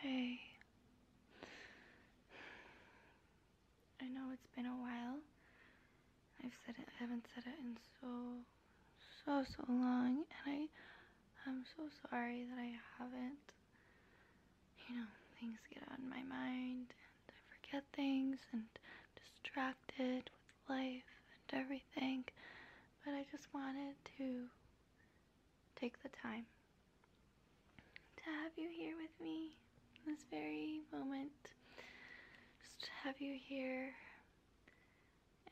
Hey. I know it's been a while. I've said it, I haven't said it in so, so, so long. And I, I'm so sorry that I haven't. You know, things get on my mind and I forget things and distracted with life and everything. But I just wanted to take the time to have you here with me in this very moment. Just have you here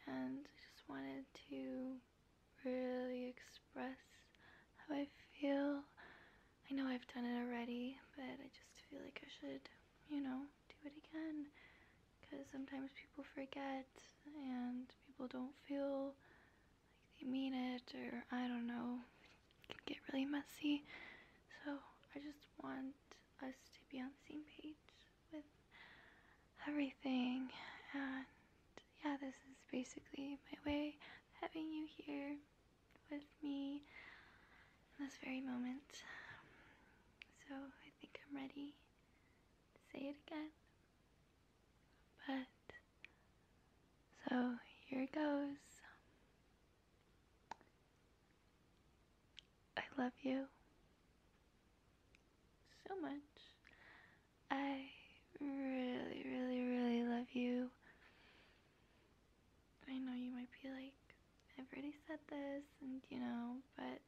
and just wanted to really express how I feel. I know I've done it already, but I just feel like I should, you know, do it again because sometimes people forget and people don't feel like they mean it or I don't know. can get really messy. So I just want us to be on the same page with everything. And yeah, this is basically my way having you here with me in this very moment. So I think I'm ready to say it again. But so here it goes. I love you so much. I really, really, really love you. I know you might be like, I've already said this, and you know, but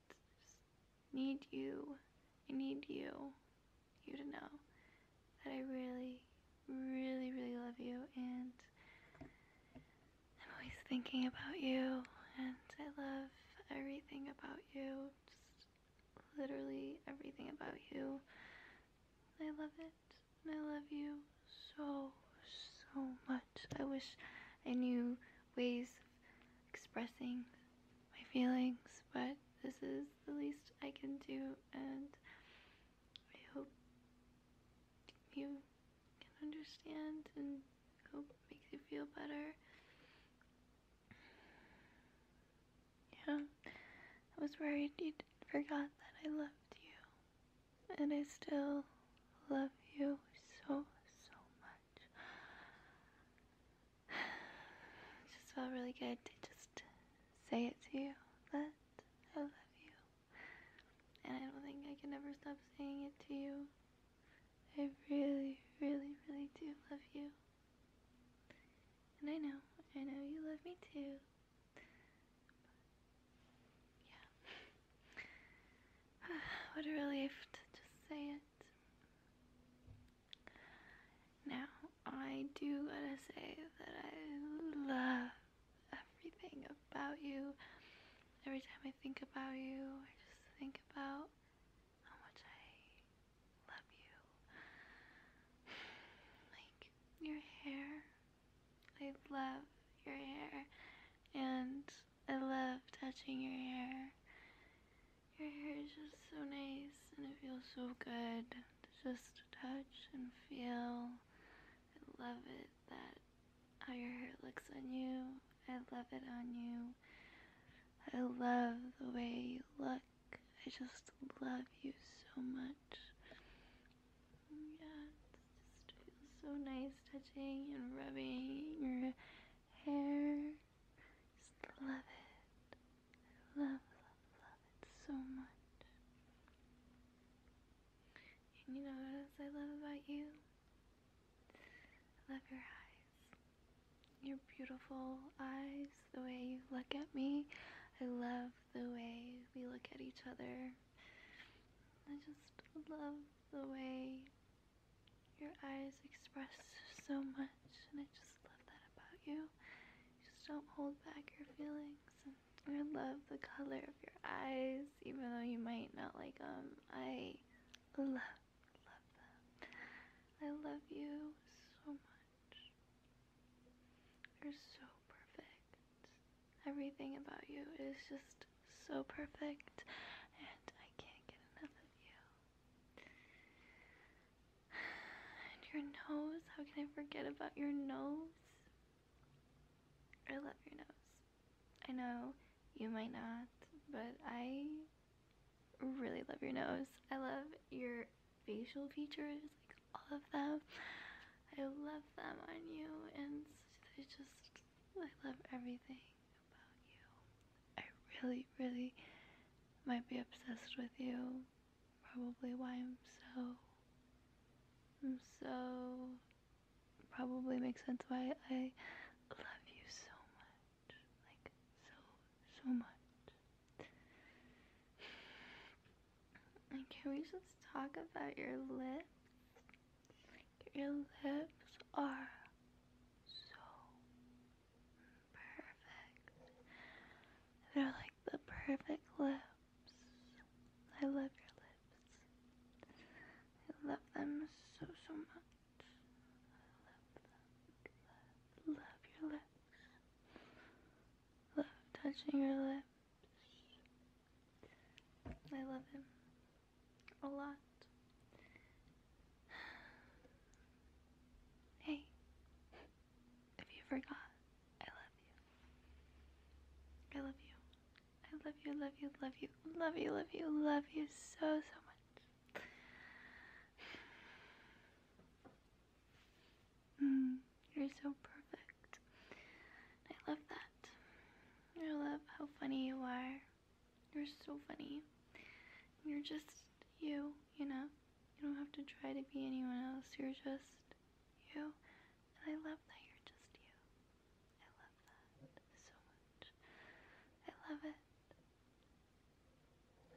need you. I need you. You to know that I really, really, really love you and I'm always thinking about you and I love everything about you. Just literally everything about you. I love it and I love you so, so much. I wish I knew ways of expressing my feelings, but this is the least I can do, and I hope you can understand and hope it makes you feel better. Yeah, I was worried you forgot that I loved you, and I still love you so, so much. It just felt really good to just say it to you that I love you. And I don't think I can ever stop saying it to you. I really, really, really do love you. And I know, I know you love me too. yeah. what a relief to just say it. Now, I do gotta say that I love everything about you. Every time I think about you, I just think about how much I love you. Like your hair. I love your hair. And I love touching your hair. Your hair is just so nice and it feels so good to just touch and feel. I love it that how your hair looks on you. I love it on you. I love the way you look. I just love you so much. Yeah, it just feels so nice touching and rubbing your hair. Just love it. love, love, love it so much. And you know what else I love about you? I love your eyes. Your beautiful eyes, the way you look at me. I love the way we look at each other. I just love the way your eyes express so much, and I just love that about you. just don't hold back your feelings. And I love the color of your eyes, even though you might not like them. I love, love them. I love you so much. You're so perfect. Everything about you is just so perfect, and I can't get enough of you your nose, how can I forget about your nose? I love your nose. I know you might not, but I really love your nose. I love your facial features, like all of them. I love them on you and I just, I love everything about you. I really, really might be obsessed with you. Probably why I'm so. I'm so. Probably makes sense why I love you so much. Like, so, so much. can we just talk about your lips? Your lips are so perfect. They're like the perfect lips. I love your lips. I love them so, so much. I love them. Love, your lips. Love touching your lips. I love him a lot. Hey, if you forgot, I love you. I love you. I love you, love you, love you, love you, love you, love you so, so much. Mm, you're so perfect. I love that. I love how funny you are. You're so funny. You're just you, you know? You don't have to try to be anyone else. You're just you. And I love that you're just you. I love that so much. I love it.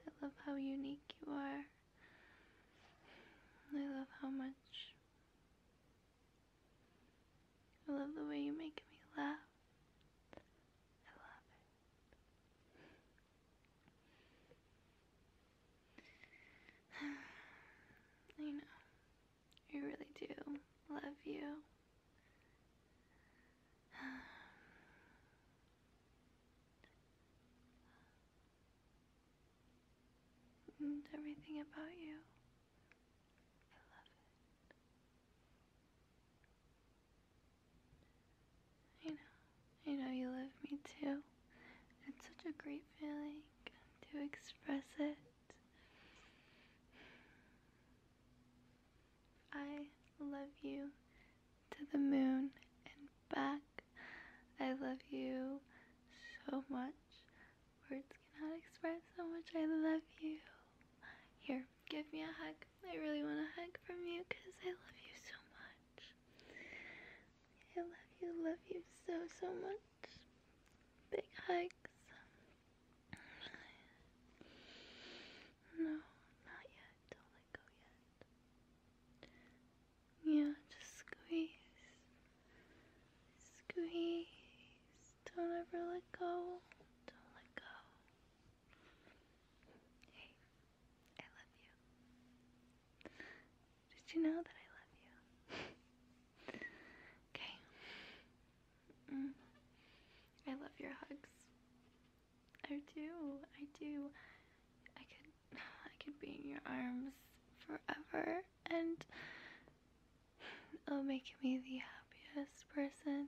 I love how unique you are. I love how much I love the way you make me laugh. I love it. I know. I really do love you. And everything about you. I love it. I know. I know you love me too. It's such a great feeling to express it. I love you to the moon and back. I love you so much. Words cannot express how much I love you. Here, give me a hug. I really want a hug from you because I love you so much. I love you, love you so, so much. Big hugs. No, not yet. Don't let go yet. Yeah, just squeeze. Squeeze don't ever let go. Don't let go. Hey, I love you. Did you know that I love you? okay. Mm. I love your hugs. I do. I do. I could I could be in your arms forever and It'll make me the happiest person.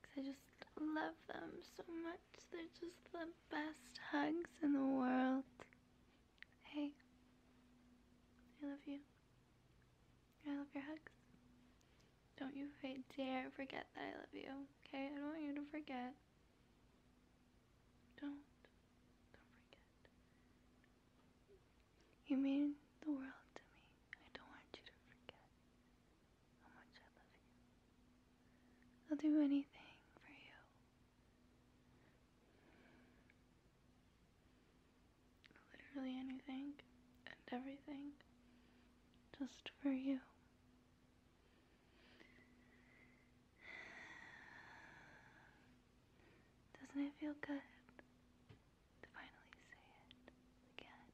Because I just love them so much. They're just the best hugs in the world. Hey, I love you. I love your hugs. Don't you dare forget that I love you, okay? I don't want you to forget. Don't. Don't forget. You mean the world to me. I don't want you to forget how much I love you. I'll do anything for you. Literally anything and everything just for you. Doesn't it feel good to finally say it again?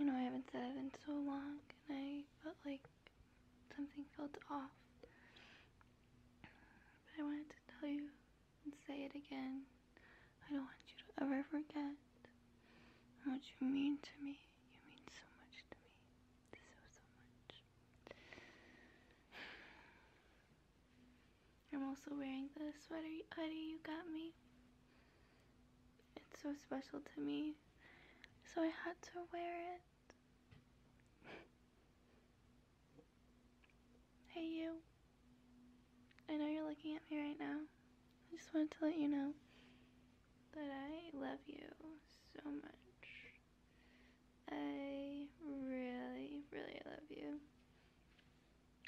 I know I haven't said it in so long, and I felt like something felt off. But I wanted to tell you and say it again. I don't want you to ever forget what you mean to me. You mean so much to me. So, so much. I'm also wearing the sweater hoodie you got me. It's so special to me, so I had to wear it. hey you. I know you're looking at me right now. I just wanted to let you know that I love you so much. I really, really love you.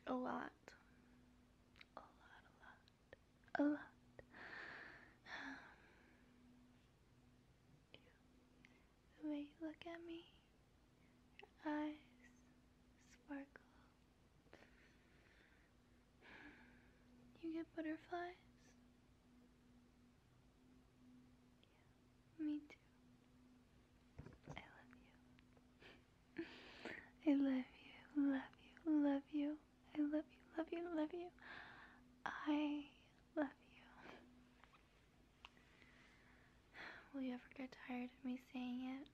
A lot. A lot, a lot, a lot. You, um, the way you look at me, your eyes sparkle. You get butterflies me too. I love you. I love you, love you, love you. I love you, love you, love you. I love you. Will you ever get tired of me saying it?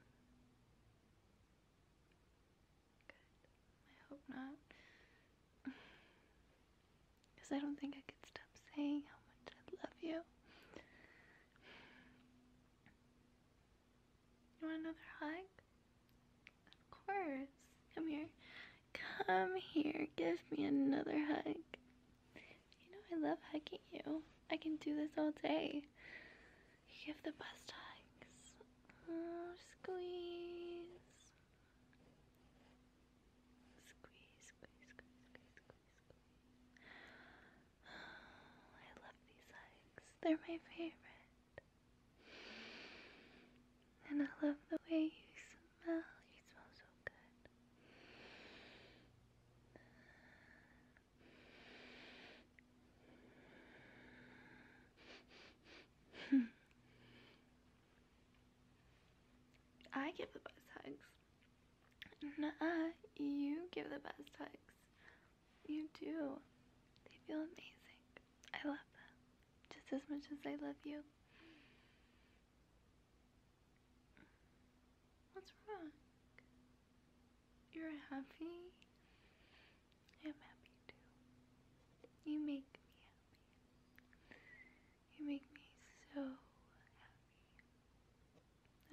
I hope not. Because I don't think I could stop saying how much I love you. You want another hug? Of course. Come here. Come here. Give me another hug. You know I love hugging you. I can do this all day. give the best hugs. Oh, squeeze. I love these hugs. They're my favorite. And I love the way you smell. You smell so good. I give the best hugs. Nah, you give the best hugs. You do. They feel amazing. I love them just as much as I love you. What's wrong? You're happy? I'm happy too. You make me happy. You make me so happy.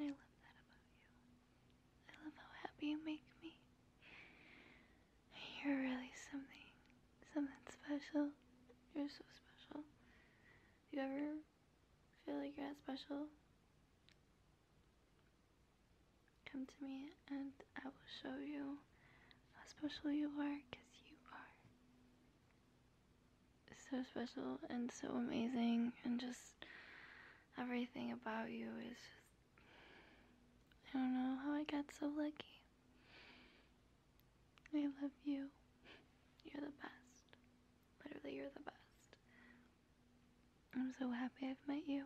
I love that about you. I love how happy you make me. You're really something, something special. You're so special. you ever feel like you're not special? Come to me and I will show you how special you are because you are so special and so amazing and just everything about you is I don't know how I got so lucky. I love you. You're the best. Literally, you're the best. I'm so happy I've met you.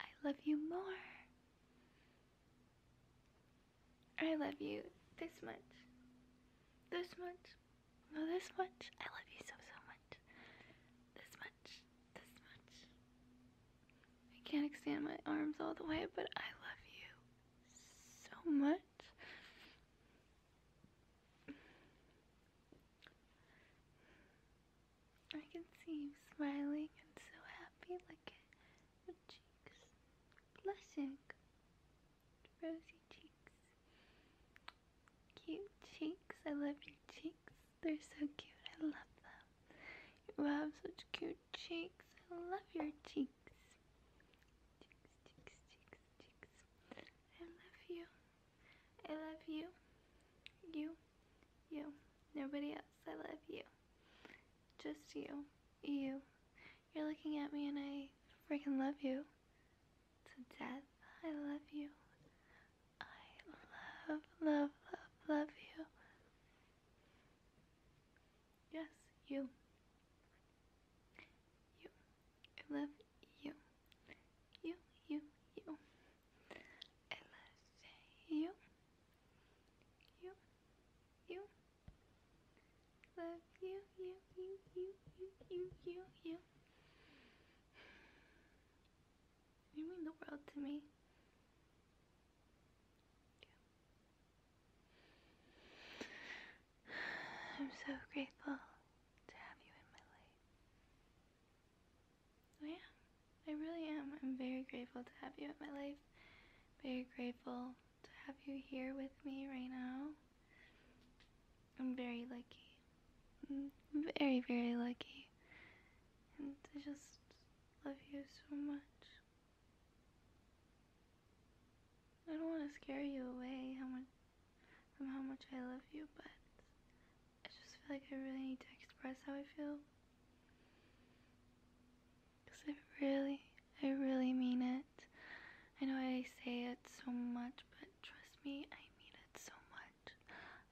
I love you. more. I love you this much. This much. No, this much. I love you so, so much. This much. This much. I can't extend my arms all the way, but I love you so much. I can see you smiling and so happy, look at your cheeks blushing, rosy cheeks, cute cheeks. I love your cheeks, they're so cute. I love them. You have such cute cheeks. I love your cheeks. Cheeks, cheeks, cheeks, cheeks. I love you. I love you. You. You. Nobody else. I love you. Just you. You. You're looking at me and I freaking love you. To death. I love you. I love, love, love, love you. Yes, you. You, I love you. You, you, you. I love you. You, you. Love you, you, you, you, you, you, you, you. You mean the world to me. I'm so grateful to have you in my life. I am. I really am. I'm very grateful to have you in my life. Very grateful to have you here with me right now. I'm very lucky. Mm, very, very lucky. And I just love you so much. I don't want to scare you away from how much I love you, but I just feel like I really need to express how I feel. Because I really, I really mean it. I know I say it so much, but trust me, I mean it so much.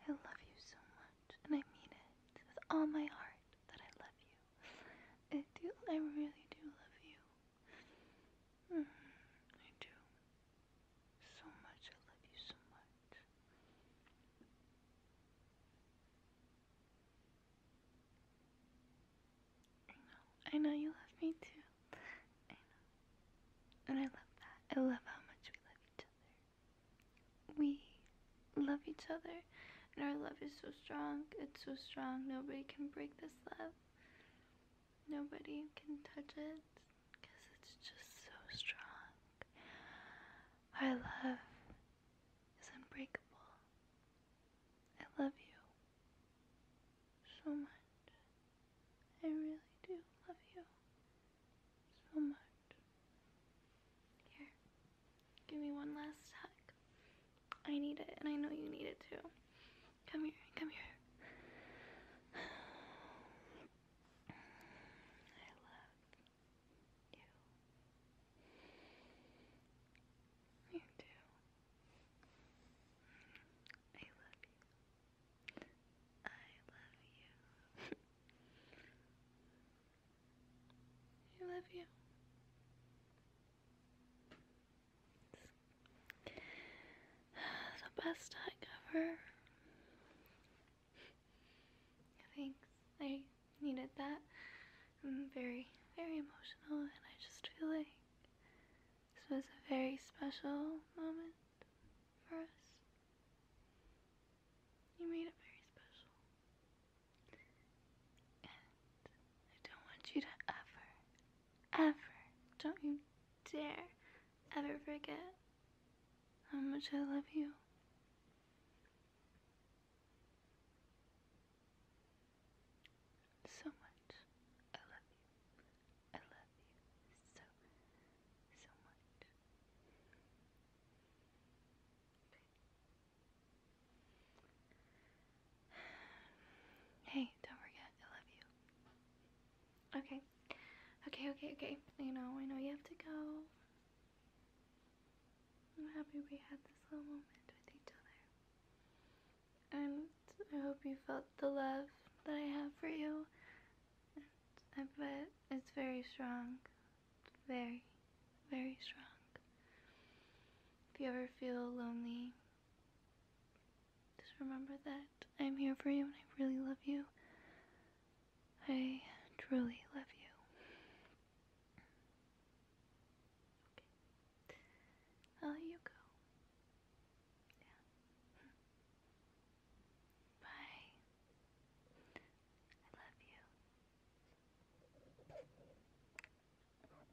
I love you so much, and I mean it with all my heart that I love you. I do, I really do love you. I do. So much. I love you so much. I know. I know you love me too. I know. And I love that. I love how much we love each other. We love each other. And our love is so strong. It's so strong. Nobody can break this love. Nobody can touch it because it's just so strong. My love is unbreakable. I love you so much. I really do love you so much. Here, give me one last hug. I need it and I know you need it too. Come here, come here. I love you. You too. Mm, I love you. I love you. I love you the best hug ever. Thanks. I needed that. I'm very, very emotional, and I just feel like this was a very special moment for us. You made it very special. I don't want you to ever, ever, don't you dare ever forget how much I love you. So much. I love you. I love you so, so much. Hey, don't forget, I love you. Okay. Okay, okay, okay. I know, I know you have to go. I'm happy we had this little moment with each other. And I hope you felt the love that I have for you. And I bet it's very strong. Very, very strong. If you ever feel lonely just remember that I'm here for you and I really love you. I truly love you. Okay. i you go. Yeah. Bye. I love you.